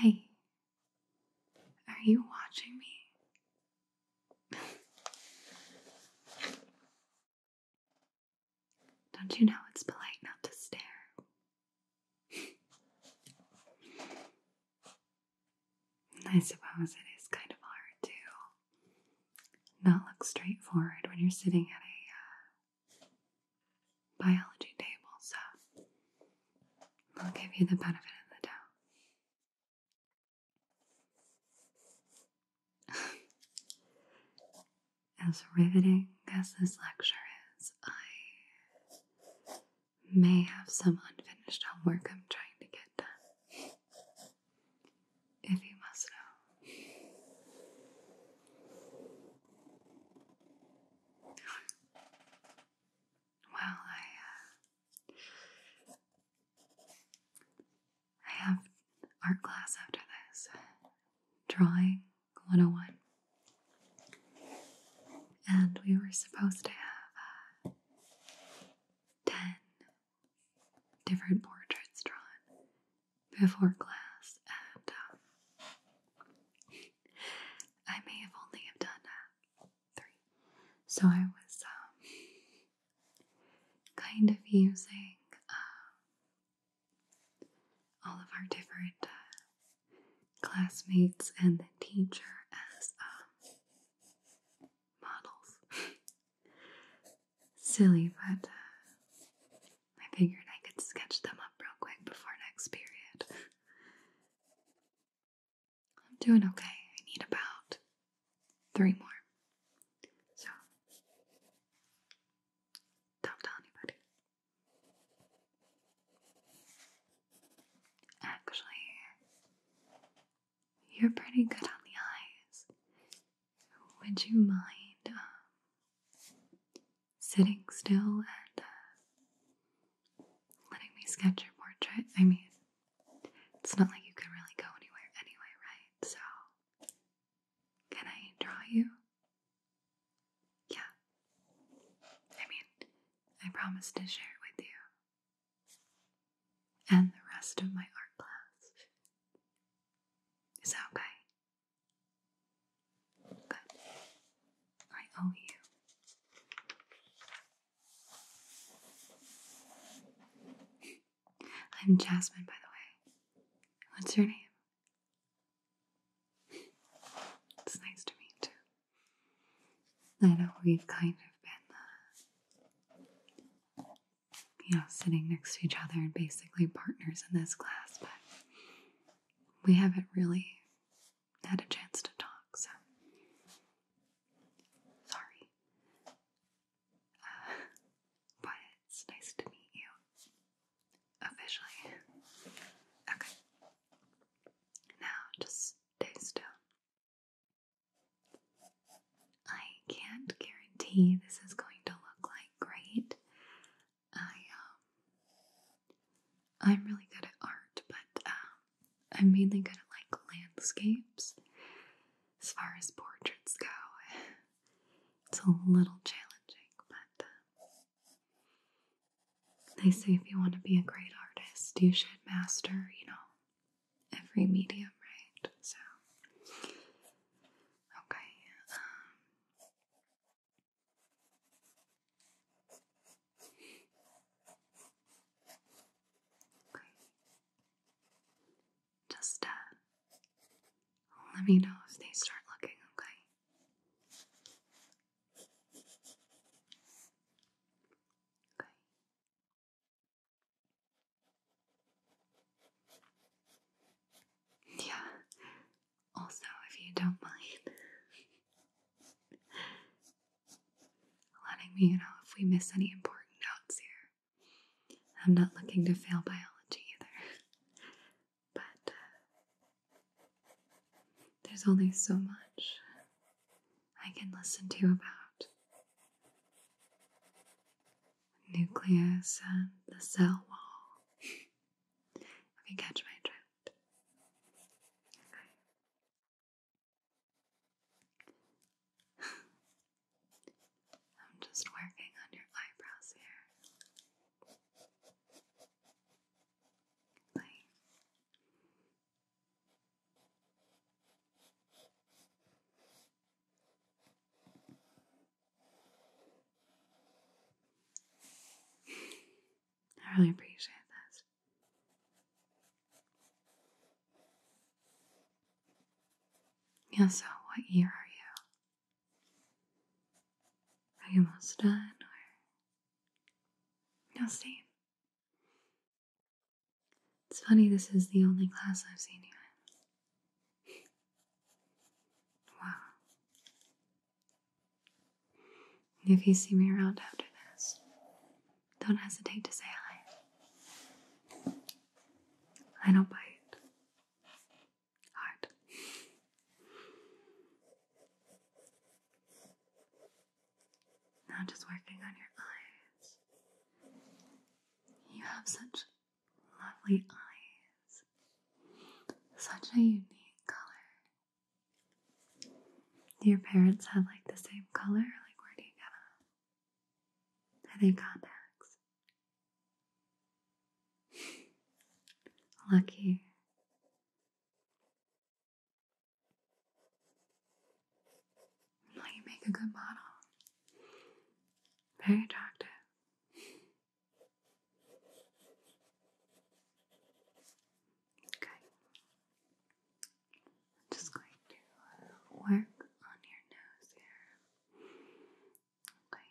Hey, are you watching me? Don't you know it's polite not to stare? I suppose it is kind of hard to not look straightforward when you're sitting at a uh, biology table, so I'll give you the benefit of the doubt. as riveting as this lecture is, I may have some unfinished homework I'm trying to get done. If you must know. Well, I, uh, I have art class after this. Drawing 101. And we were supposed to have uh, 10 different portraits drawn before class, and um, I may have only have done uh, three. So I was um, kind of using um, all of our different uh, classmates and the teacher as um, models. Silly, but uh, I figured I could sketch them up real quick before next period. I'm doing okay. I need about three more. So, don't tell anybody. Actually, you're pretty good on the eyes. Would you mind um, sitting still and uh, letting me sketch your portrait? I mean, it's not like you can really go anywhere anyway, right? So, can I draw you? Yeah. I mean, I promised to share it with you. And the rest of my art class. Is that okay? Good. I owe you. I'm Jasmine, by the way. What's your name? It's nice to meet you. I know we've kind of been, uh, you know, sitting next to each other and basically partners in this class, but we haven't really had a chance to talk, so. Sorry. Uh, but it's nice to meet you. Officially. Okay. Now just stay still. I can't guarantee this is going to look like great. I um, I'm really good at art, but um, I'm mainly good at like landscapes. As far as portraits go, it's a little challenging, but um, they say if you want to be a great artist, you should master, you know, every medium, right? So, okay. Um, Just uh, let me know if they start looking, okay? Okay. Yeah. Also, if you don't mind letting me know if we miss any important notes here. I'm not looking to fail biology either but uh, there's only so much I can listen to about nucleus and the cell wall. if you catch my drift. I'm just working on your eyebrows here. Like, I really appreciate this. Yeah, so what year are you? Are you almost done or no same? It's funny this is the only class I've seen you in. wow. If you see me around after this, don't hesitate to say hi. I don't bite hard. Now, just working on your eyes. You have such lovely eyes, such a unique color. your parents have like the same color? Like, where do you get them? I think contacts? Lucky. you make a good model. Very attractive. Okay. just going to uh, work on your nose here. Okay.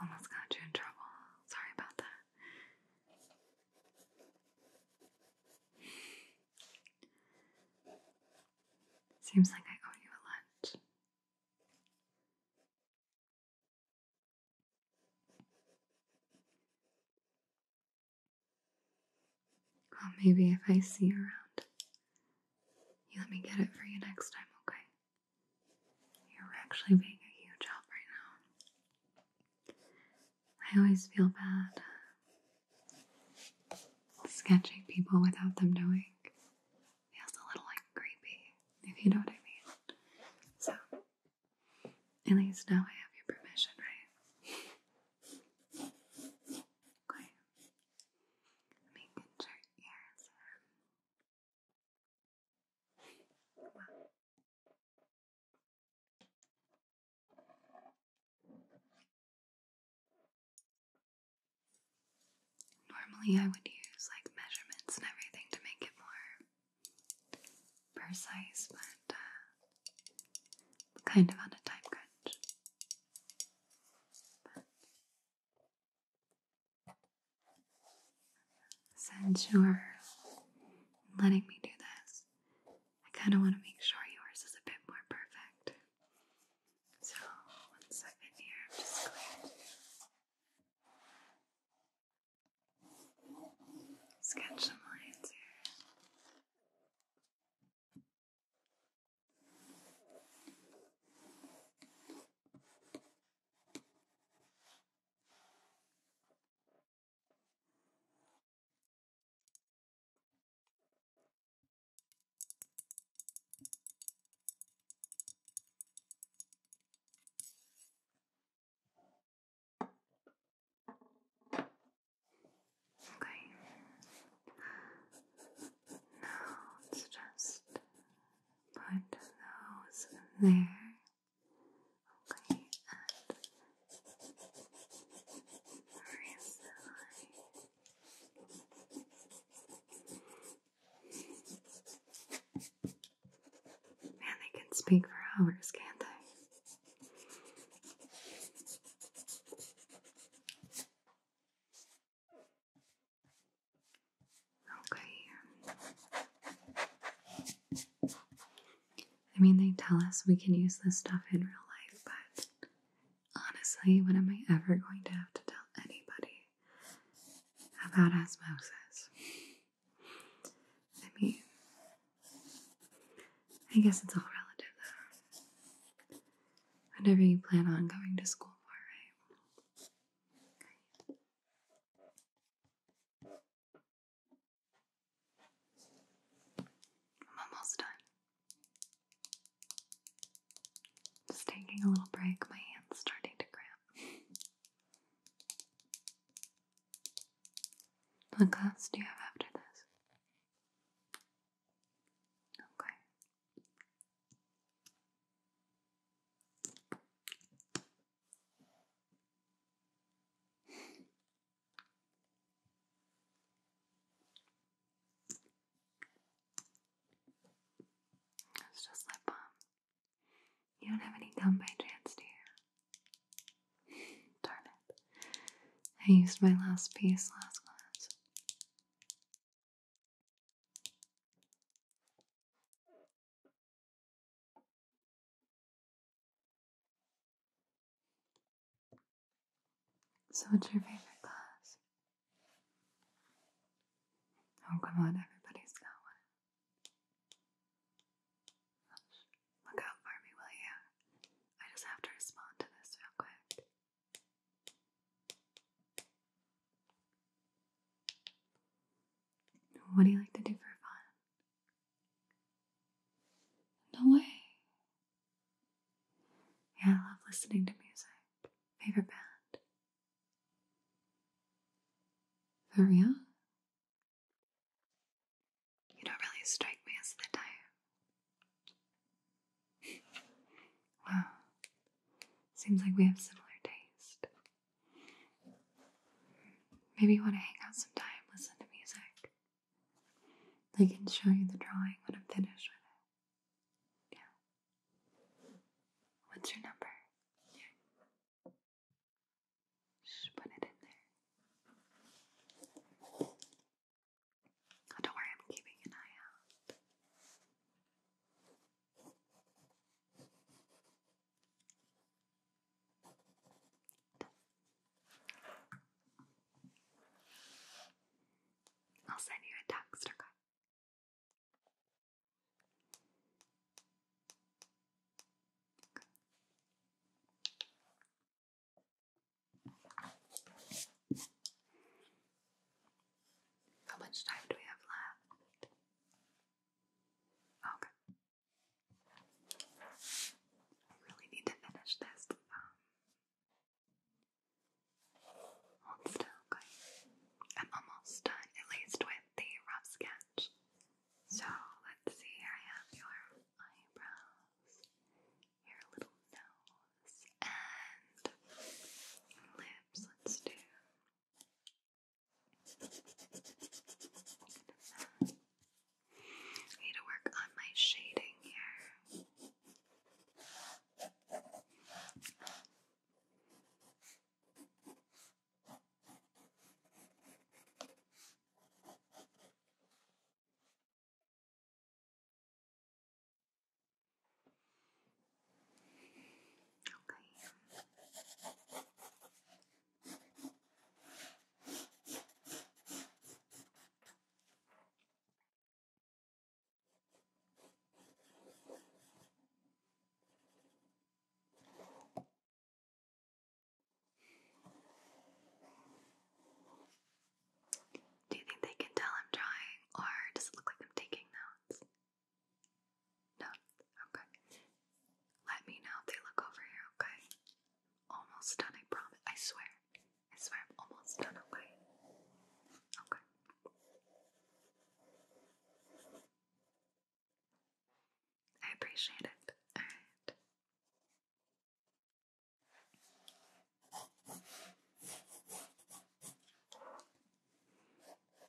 Almost got you in trouble. Sorry about that. Seems like I owe you a lunch. Well, maybe if I see around, you let me get it for you next time, okay? You're actually being a huge help right now. I always feel bad sketching people without them knowing. Feels a little like creepy, if you know what I mean. So, at least now I have your permission, right? Okay. Let me Normally, I would use like measurements and everything to make it more precise, but uh, kind of on a time crunch since you're letting me do this, I kind of want to make sure yours is a bit more perfect. So, one second here, I'm just going sketch some lines here. Okay. Now it's just put those there. Okay, and raise Man, they can speak for hours, can't they? Okay. I mean, they tell us we can use this stuff in real life, but honestly, when am I ever going to have to tell anybody about osmosis? I mean, I guess it's all relative though. Whatever you plan on going to school for, right? I'm almost done. Just taking a little break, my hand's starting to cramp. What class do you have after this? Okay. It's just lip balm. You don't have any gum by chance, do Darn it. I used my last piece last class. So, what's your favorite class? Oh, come on, everybody's got one. Look out for me, will you? I just have to respond to this real quick. What do you like to do for fun? No way. Yeah, I love listening to music. Favorite band? For real? You don't really strike me as the type. wow. Seems like we have similar taste. Maybe you want to hang out sometime, listen to music. I can show you the drawing when I'm finished with it. Yeah. What's your number? Just put it in there. Oh, don't worry, I'm keeping an eye out. I'll send you a text, How much time do we have left? Okay. I really need to finish this. Um, still, I'm almost done, at least with the rough sketch. So let's see. Here I have your eyebrows, your little nose, and lips. Let's do I need to work on my shading here. Do you think they can tell I'm trying, or does it look like I'm taking notes? Done. Okay. Let me know if they look over here, okay? Almost done, I promise. I swear. I swear I'm almost done, Okay. I appreciate it. Alright.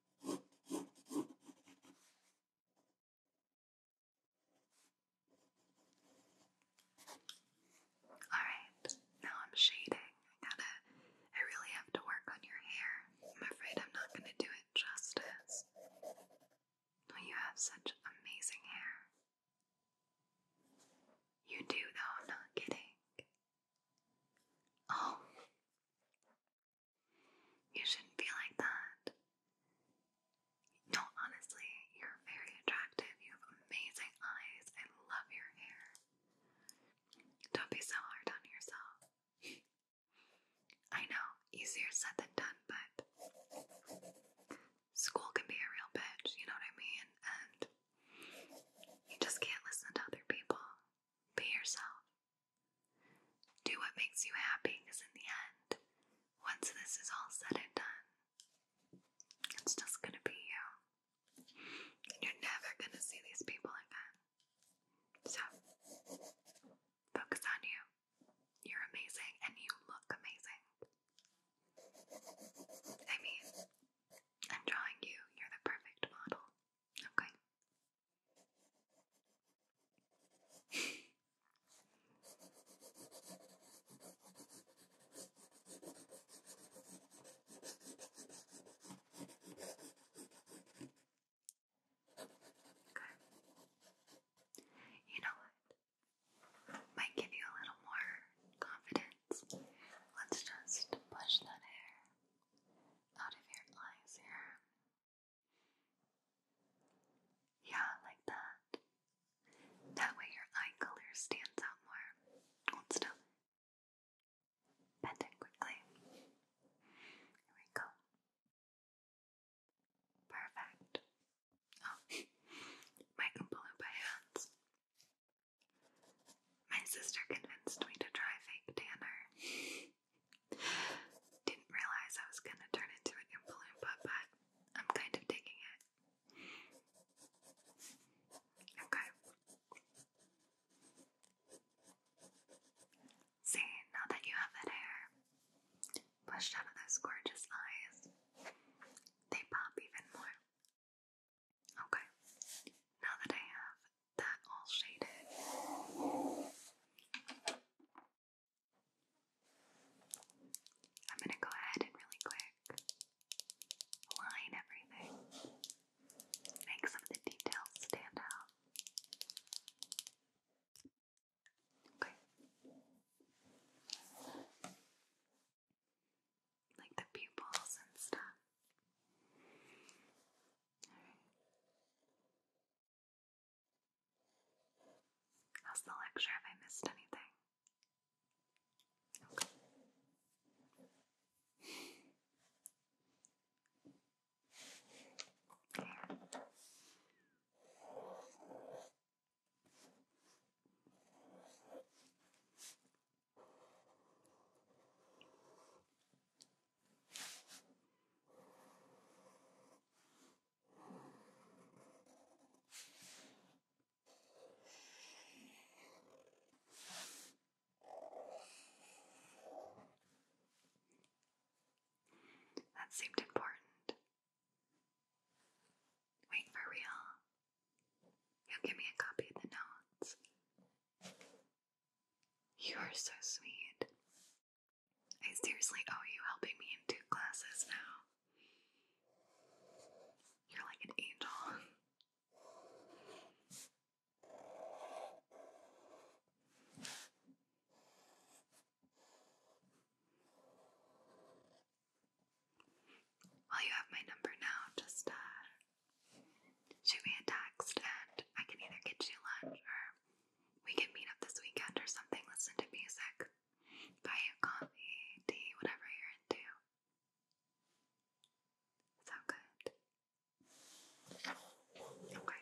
Alright, now I'm shading. I gotta, I really have to work on your hair. I'm afraid I'm not gonna do it justice. Well, you have such amazing hair. You do, though, I'm not kidding. Oh, you shouldn't be like that. No, honestly, you're very attractive. You have amazing eyes. I love your hair. Don't be so hard on yourself. I know, easier said than done, but school can be a real bitch, you know what I mean? And you just can't listen to other people. Be yourself. Do what makes you happy in the end, once this is all said and done, it's just going to be you. You're never going to see these people again. So, focus on you. You're amazing and you look amazing. I mean, I'm drawing you, you're the perfect model. Okay? Okay. You know what? Might give you a little more confidence. Let's just push that hair out of your eyes here. Yeah, like that. That way your eye color stands out more. Hold still. Bend it quickly. Here we go. Perfect. Oh, I blue by My sister convinced me to try fake tanner. Didn't realize I was gonna turn into an Impa but I'm kind of digging it. Okay. See, now that you have that hair pushed out of those gorgeous eyes, they pop even more. Okay, now that I have that all shaded. I'm going to go ahead and really quick line everything, make some of the details stand out. Okay. Like the pupils and stuff. All right. How's the lecture? Have I missed anything? That seemed important. Wait, for real? You'll give me a copy of the notes. You are so sweet. I seriously owe you helping me in two classes now. You're like an angel. Well, you have my number now. Just uh, shoot me a text and I can either get you lunch or we can meet up this weekend or something, listen to music, buy you coffee, tea, whatever you're into. Sound good? Okay.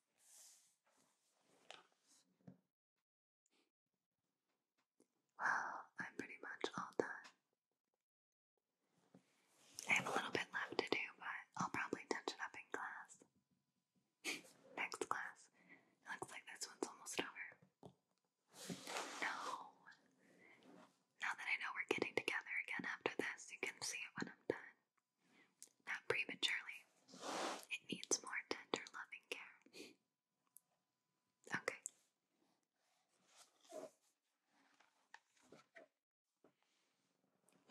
Well, I'm pretty much all done. I have a little bit left to do, but I'll probably touch it up in class. Next class. looks like this one's almost over. No. Now that I know we're getting together again after this, you can see it when I'm done. Not prematurely. It needs more tender, loving care. Okay.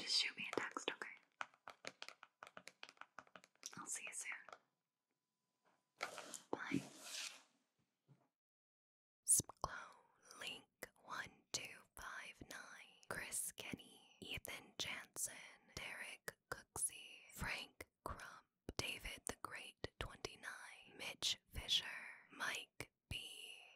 Just shoot me a text, okay? I'll see you soon. Bye. Slowly 1259 Chris Kenny, Ethan Jansen, Derek Cooksey, Frank Crump, David the Great 29, Mitch Fisher, Mike B,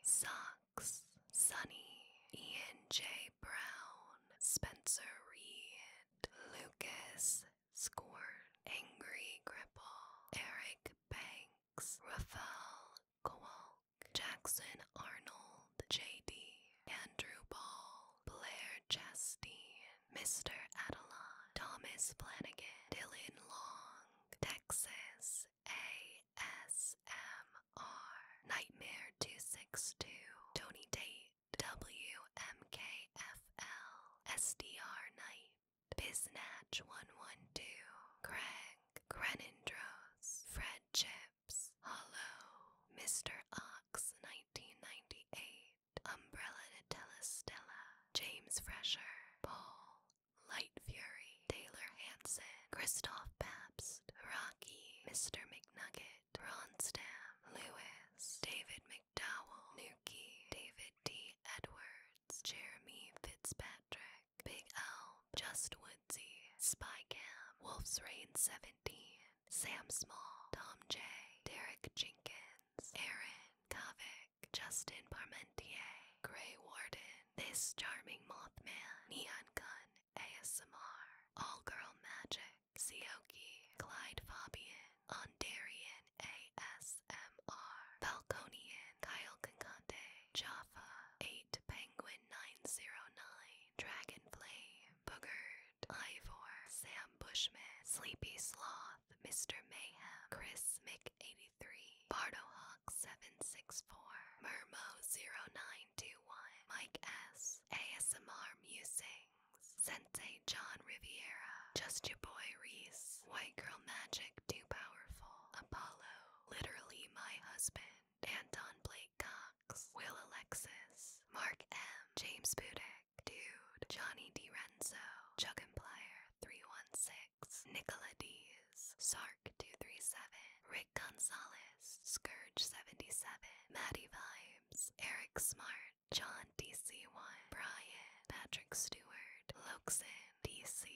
Socks, Sunny, Ian J. Brown, Spencer Reed, Lucas Score, Angry Gripple, Eric Banks, Raphael Gual. Jackson Arnold, J.D., Andrew Ball, Blair Chesty, Mr. Adelon, Thomas Flanagan, Dylan Long, Texas ASMR, Nightmare 262, Tony Tate, WMKFL, SDR Knight, Biznatch 112, Craig, Grenindros, Fred Chip lips, Mr. Ox, 1998. Umbrella Nutella Stella. James Fresher. Paul. Light Fury. Taylor Hanson. Christoph Pabst. Rocky. Mr. McNugget. Ronstam. Lewis. David McDowell. Nuki. David D. Edwards. Jeremy Fitzpatrick. Big Elm, Just Woodsy, Spy Cam, Wolf's Rain 17, Sam Small, Tom J, Derek Jenkins, Aaron, Tavik, Justin Parmentier, Grey Warden, This Charming Mothman, Neon Gun, ASMR, All Girl Magic, Sioki, Clyde Fabian, Ondarian ASMR, Falconian, Kyle Java 8. White Penguin 909, Dragonfly, Boogerd, Ivor, Sam Bushman, Sleepy Sloth, Mr. Mayhem, Chris Mick83, Bardohawk764, Mermo0921, Mike S, ASMR Musings, Sensei John Riviera, Just Your Boy Reese, White Girl Magic Too Powerful, Apollo, Literally My Husband, Anton Blake Cox, Will Alexis, Mark M, James Budek, Dude, Johnny Renzo, DiRenzo, Chuggimplier 316, Nicola Dees, Sark237, Rick Gonzalez, Scourge77, Maddie Vibes, Eric Smart, John DC1, Brian, Patrick Stewart, Loxin, DC.